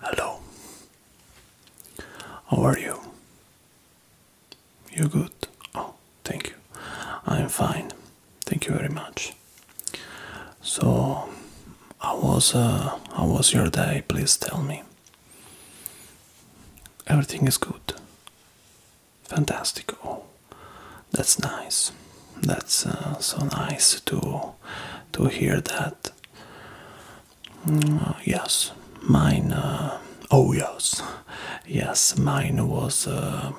Hello. How are you? You are good? Oh, thank you. I'm fine. Thank you very much. So, how was uh, how was your day? Please tell me. Everything is good fantastical that's nice that's uh, so nice to to hear that mm, uh, yes mine uh, oh yes yes mine was a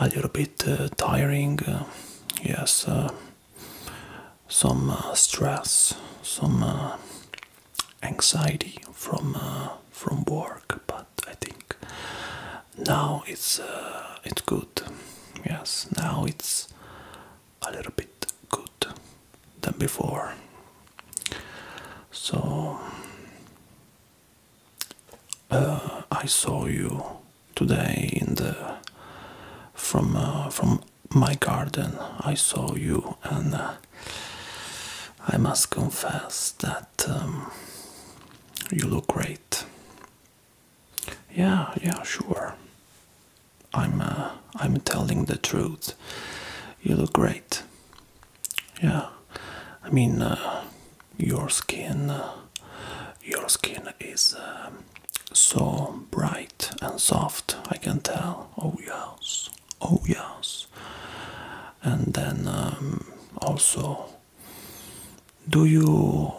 little bit tiring yes some stress some anxiety from from work but I think now it's uh, it's good. Yes, now it's a little bit good than before. So uh, I saw you today in the from uh, from my garden. I saw you and. I must confess that um, you look great. Yeah, yeah, sure. I'm uh, I'm telling the truth. You look great. Yeah. I mean uh, your skin uh, your skin is uh, so bright and soft. I can tell. Oh yes. Oh yes. And then um, also do you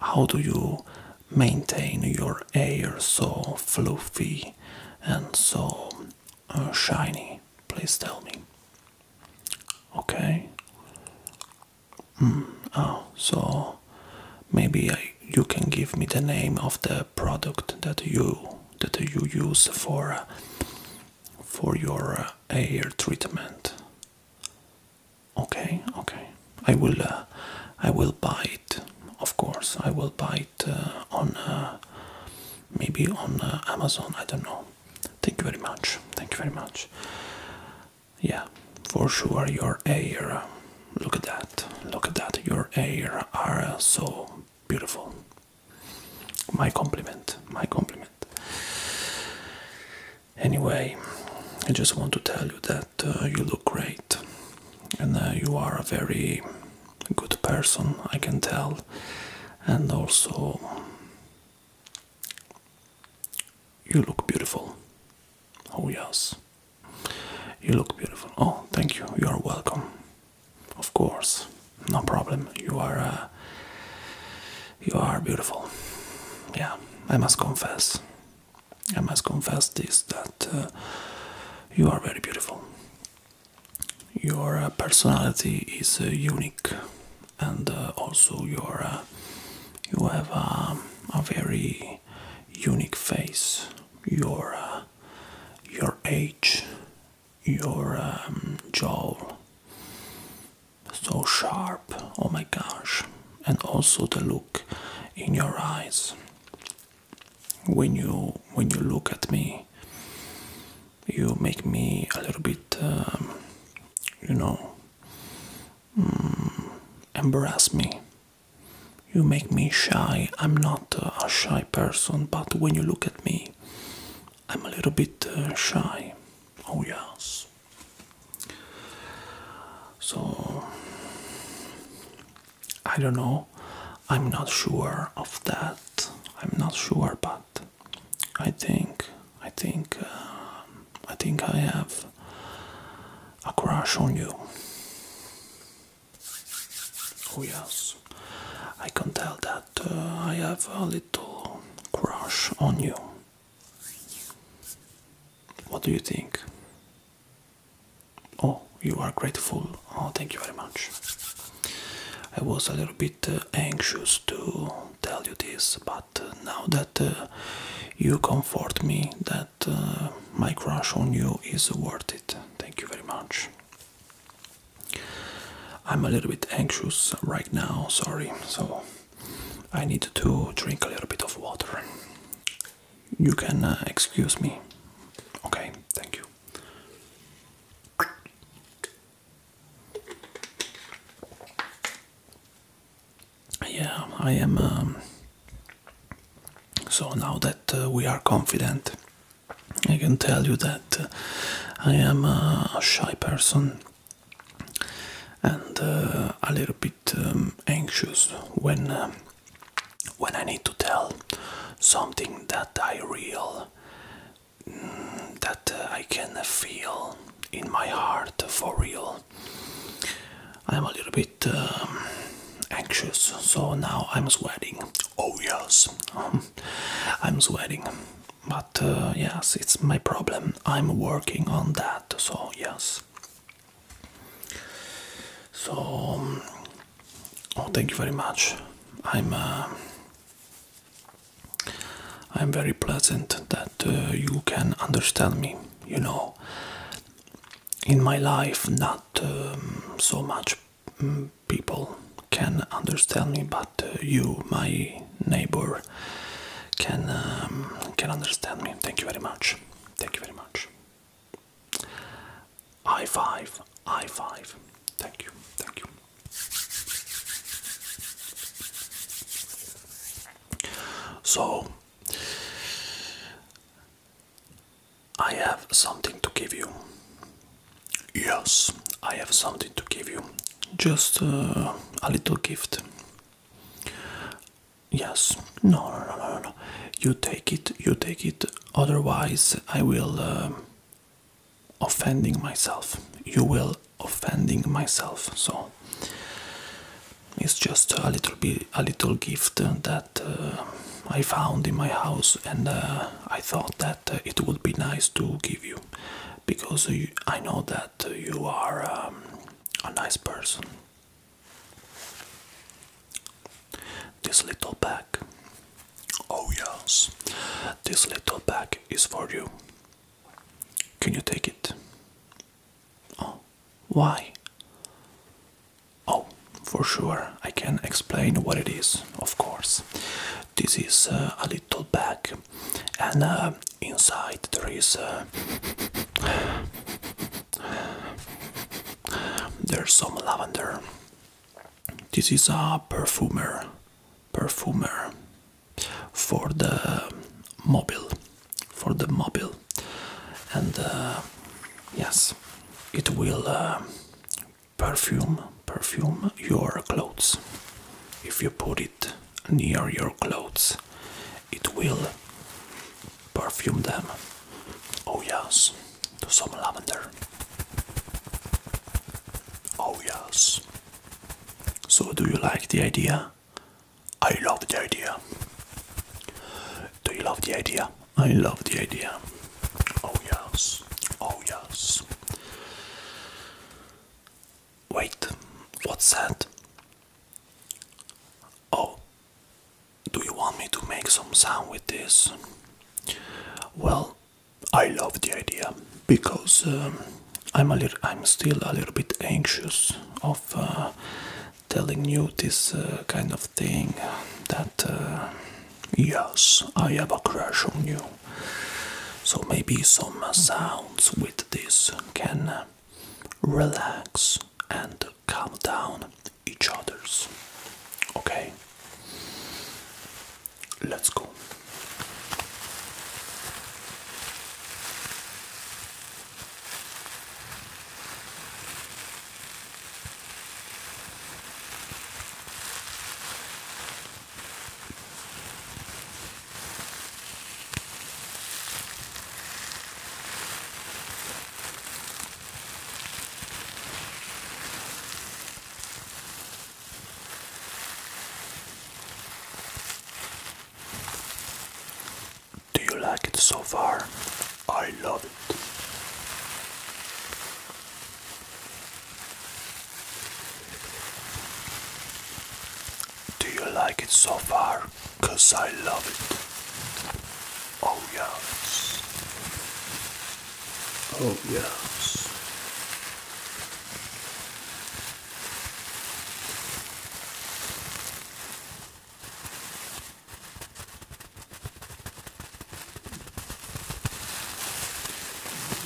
how do you maintain your hair so fluffy and so uh, shiny please tell me okay hmm. oh so maybe you can give me the name of the product that you that you use for uh, for your hair uh, treatment Okay, okay. I will, uh, I will buy it. Of course, I will buy it uh, on uh, maybe on Amazon. I don't know. Thank you very much. Thank you very much. Yeah, for sure. Your hair. Look at that. Look at that. Your hair are so beautiful. My compliment. My compliment. Anyway, I just want to tell you that uh, you look great and uh, you are a very good person, I can tell, and also you look beautiful. Oh, yes, you look beautiful. Oh, thank you, you are welcome. Of course, no problem. You are you are beautiful. Yeah, I must confess. I must confess this that uh, you are very beautiful. Your uh, personality is uh, unique, and also your you have um, a very unique face. Your your age, your um, jaw, so sharp, oh my gosh, and also the look in your eyes when you when you look at me you make me a little bit um, you know um, embarrass me you make me shy i'm not a shy person but when you look at me I'm a little bit uh, shy. Oh, yes. So, I don't know. I'm not sure of that. I'm not sure, but I think, I think, uh, I think I have a crush on you. Oh, yes. I can tell that. Uh, I have a little crush on you. What do you think? Oh, you are grateful. Oh, thank you very much. I was a little bit uh, anxious to tell you this, but uh, now that you comfort me, that my crush on you is worth it. Thank you very much. I'm a little bit anxious right now, sorry, so I need to drink a little bit of water. You can uh, excuse me. Okay, thank you. Yeah, I am. Um, so now that uh, we are confident, I can tell you that uh, I am a shy person and uh, a little bit um, anxious when uh, when I need to tell something that I real mm, that uh, I can feel in my heart for real. I'm a little bit um, anxious, so now I'm sweating. Oh yes, I'm sweating, but uh, yes, it's my problem. I'm working on that, so yes. So, um, oh, thank you very much. I'm uh, I'm very pleasant that uh, you can understand me. You know, in my life, not um, so much mm, people can understand me, but uh, you, my neighbor, can um, can understand me. Thank you very much. Thank you very much. High five. High five. Thank you. Thank you. So, I have something to give you. Yes, I have something to give you just uh, a little gift. Yes, no, no, no, no, You take it, you take it. Otherwise, I will uh, offending myself. You will offending myself. So it's just a little bit, a little gift that uh, I found in my house, and I thought that. Uh, it would be nice to give you because I know that you are um, a nice person. This little bag, oh yes, this little bag is for you. Can you take it? Oh, why? Oh, for sure, I can explain what it is, of course. This is uh, a little bag and uh, inside there is uh, there's some lavender. This is a perfumer, perfumer for the mobile, for the mobile, and uh, yes, it will perfume, perfume your clothes if you put it near your clothes. It will perfume them. Oh, yes, to some lavender. Oh, yes. So, do you like the idea? I love the idea. Do you love the idea? I love the idea. Oh, yes. Oh, yes. Wait, what's that? Oh, do you want me to make some sound with this? Well, I love the idea because um, I'm a little, I'm still a little bit anxious of uh, telling you this uh, kind of thing. That uh, yes, I have a crush on you. So maybe some sounds with this can relax and calm down each other's. Okay? Let's go. Do you like it so far? I love it. Do you like it so far? Cause I love it. Oh yes. Oh yes.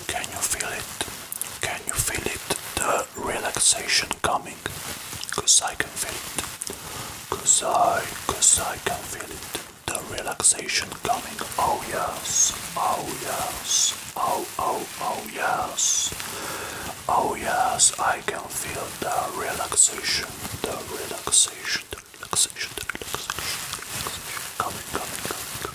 Can you feel it? Can you feel it? The relaxation coming? Cause I can feel it. Cause I, cause I can feel it. The relaxation coming. Oh yes. Oh yes. Oh, oh, oh yes. Oh yes. I can feel the relaxation. The relaxation. The relaxation. The relaxation. The relaxation. Coming, coming,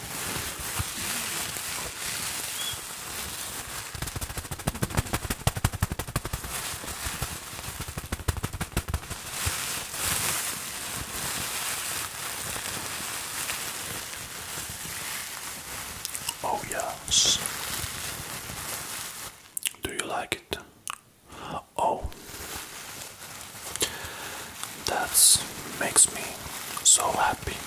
Oh, yes. Do you like it? Oh, that makes me so happy.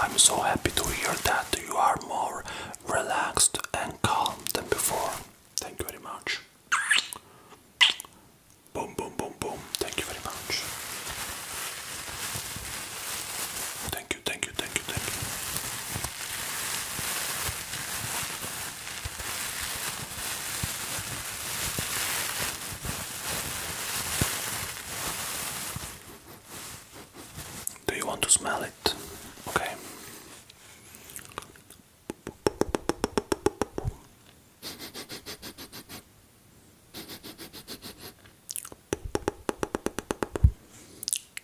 I'm so happy to hear that you are more relaxed and calm than before. Thank you very much. Boom, boom, boom, boom. Thank you very much. Thank you, thank you, thank you, do you want to smell it? Okay.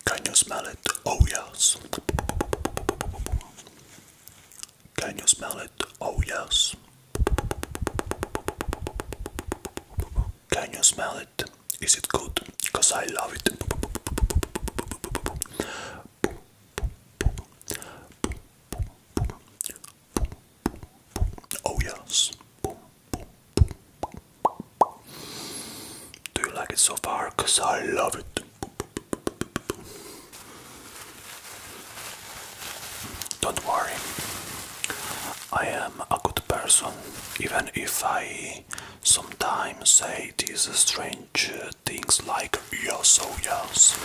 Can you smell it? Oh, yes. Can you smell it? Oh, yes. Can you smell it? Is it good? Because I love it. Oh, yes. Do you like it so far? Because I love it. Don't worry, I am a good person, even if I sometimes say these strange things like yes, so yes,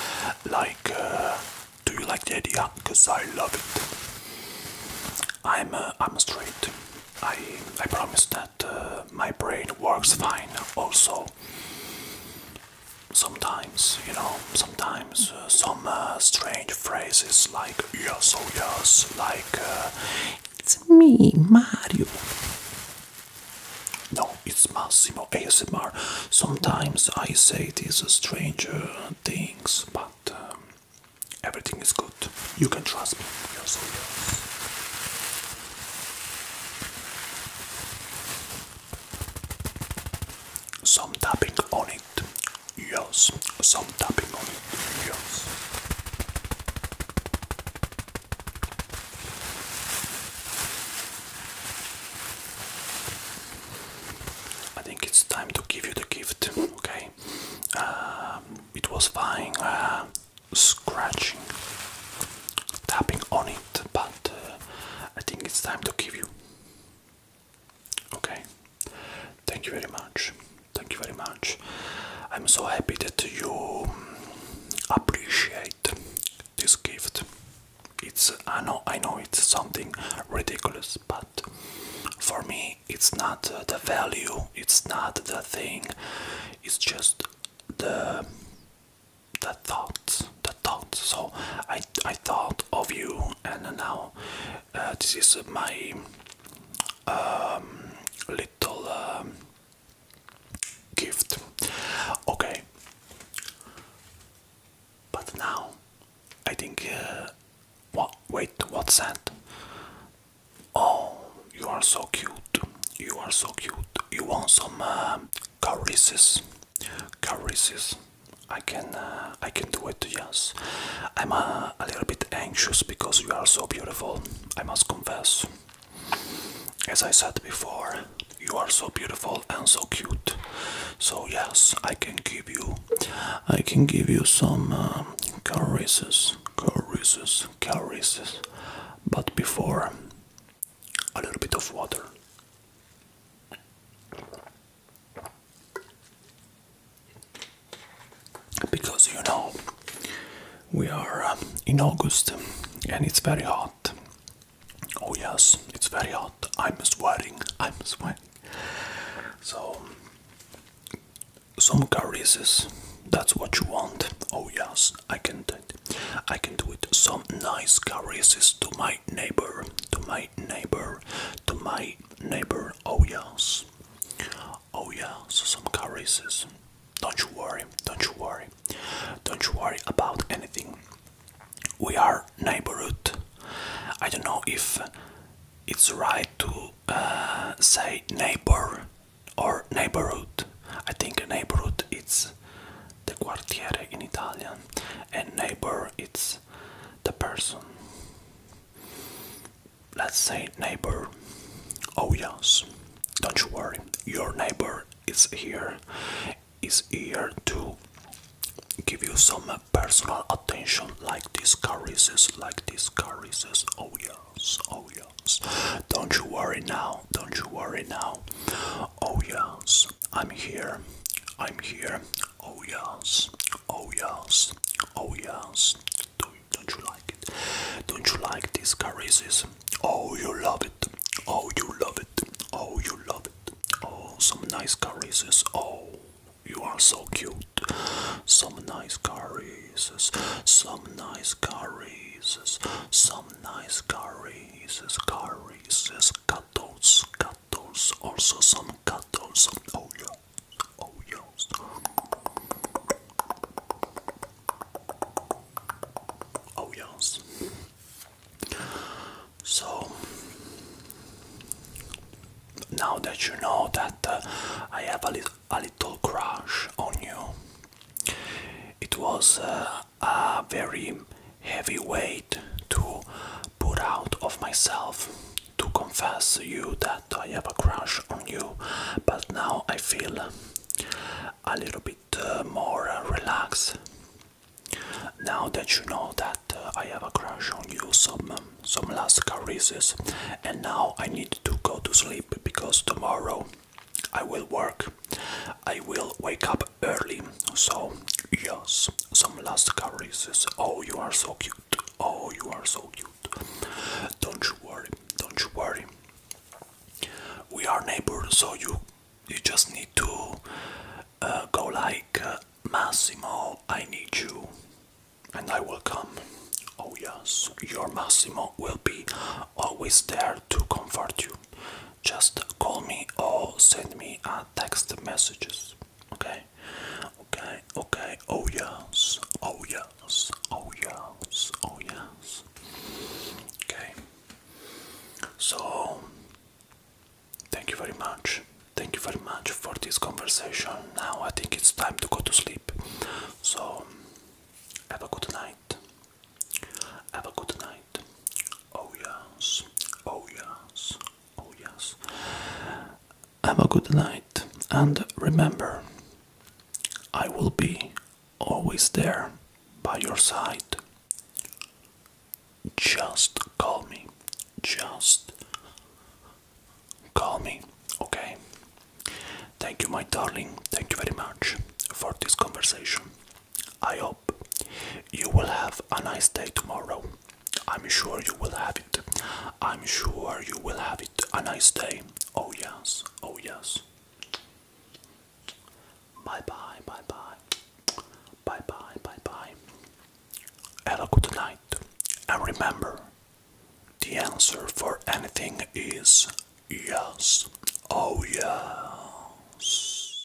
like uh, do you like the idea? Because I love it. I'm uh, I'm straight. I I promise that uh, my brain works fine. Also, sometimes, you know, sometimes uh, some uh, strange phrases like yes, oh yes, like uh, it's me, Mario. No, it's Massimo ASMR. Sometimes I say these strange things, but um, everything is good. You can trust me. Yes, oh yes. Some tapping on it, yes. Some tapping on it, yes. I think it's time to give you the gift, okay? Uh, it was fine uh, scratching, tapping on it, but uh, I think it's time to give you Okay. Thank you very much. Thank you very much. I'm so happy that you mm, appreciate this gift. It's I know I know it's something ridiculous, but for me it's not the value, it's not the thing. It's just the the thoughts the thoughts so i i thought of you and now uh, this is my um, little um, gift okay but now i think uh, what wait what's that oh you are so cute you are so cute you want some um, choruses, choruses. I can uh, I can do it. Yes, I'm uh, a little bit anxious because you are so beautiful. I must confess. As I said before, you are so beautiful and so cute. So yes, I can give you, I can give you some uh, caresses, caresses, caresses. But before, a little bit of water. Because you know, we are um, in August and it's very hot. Oh, yes, it's very hot. I'm sweating, I'm sweating. So, some caresses, that's what you want. Oh, yes, I can, I can do it. Some nice caresses to my neighbor, to my neighbor, to my neighbor. Oh yes, oh yes, some caresses. Don't you worry, don't you worry, don't you worry about anything. We are neighborhood. I don't know if it's right to uh, say neighbor or neighborhood. I think neighborhood it's the quartiere in Italian, and neighbor it's the person. Let's say neighbor. Oh yes, don't you worry. Your neighbor is here, is here to give you some personal attention, like these caresses, like these caresses. Oh yes, oh yes. Don't you worry now. Don't you worry now. Oh yes, I'm here. I'm here. Oh yes. Oh yes. Oh yes. Don't, don't you like it? Don't you like these caresses? Oh, you love it. Oh, you love it. Oh, you love it. Oh, some nice caresses. Oh, you are so cute. Some nice caresses. Some nice caresses. Some nice caresses. Caresses. Cuddles. Cuddles cattles, also some cattles. Oh yeah, oh, oh yes. So now that you know that uh, I have a, li a little crush on you, it was uh, a very heavy weight to put out of myself to confess you that I have a crush on you, but now I feel a little bit uh, more uh, relaxed. Now that you know that uh, I have a crush on you, some um, some last caresses, and now I need to go to sleep because tomorrow I will work. I will wake up early. So, yes, some last caresses. Oh, you are so cute. Oh, you are so cute. Don't you worry. Don't you worry. We are neighbors, so you you just need to uh, go like uh, Massimo. I need you, and I will come. Oh yes, your Massimo will be always there to comfort you. Just call me or send me a text messages. Okay, okay, okay. Oh yes, oh yes, oh yes, oh yes. Okay. So, thank you very much. Thank you very much for this conversation. Now I think it's time to go to sleep. So, have a good night. Have a good night. Oh yes, oh yes, oh yes. Have a good night and remember, I will be always there by your side. Just call me. Just call me, okay? Thank you, my darling. Thank you very much for this conversation. I hope you will have a nice day tomorrow. I'm sure you will have it. I'm sure you will have it. A nice day. Oh, yes. Oh, yes. Bye bye. Bye bye. Bye bye. Bye bye. Have a good night. And remember, the answer for anything is yes. Oh, yes.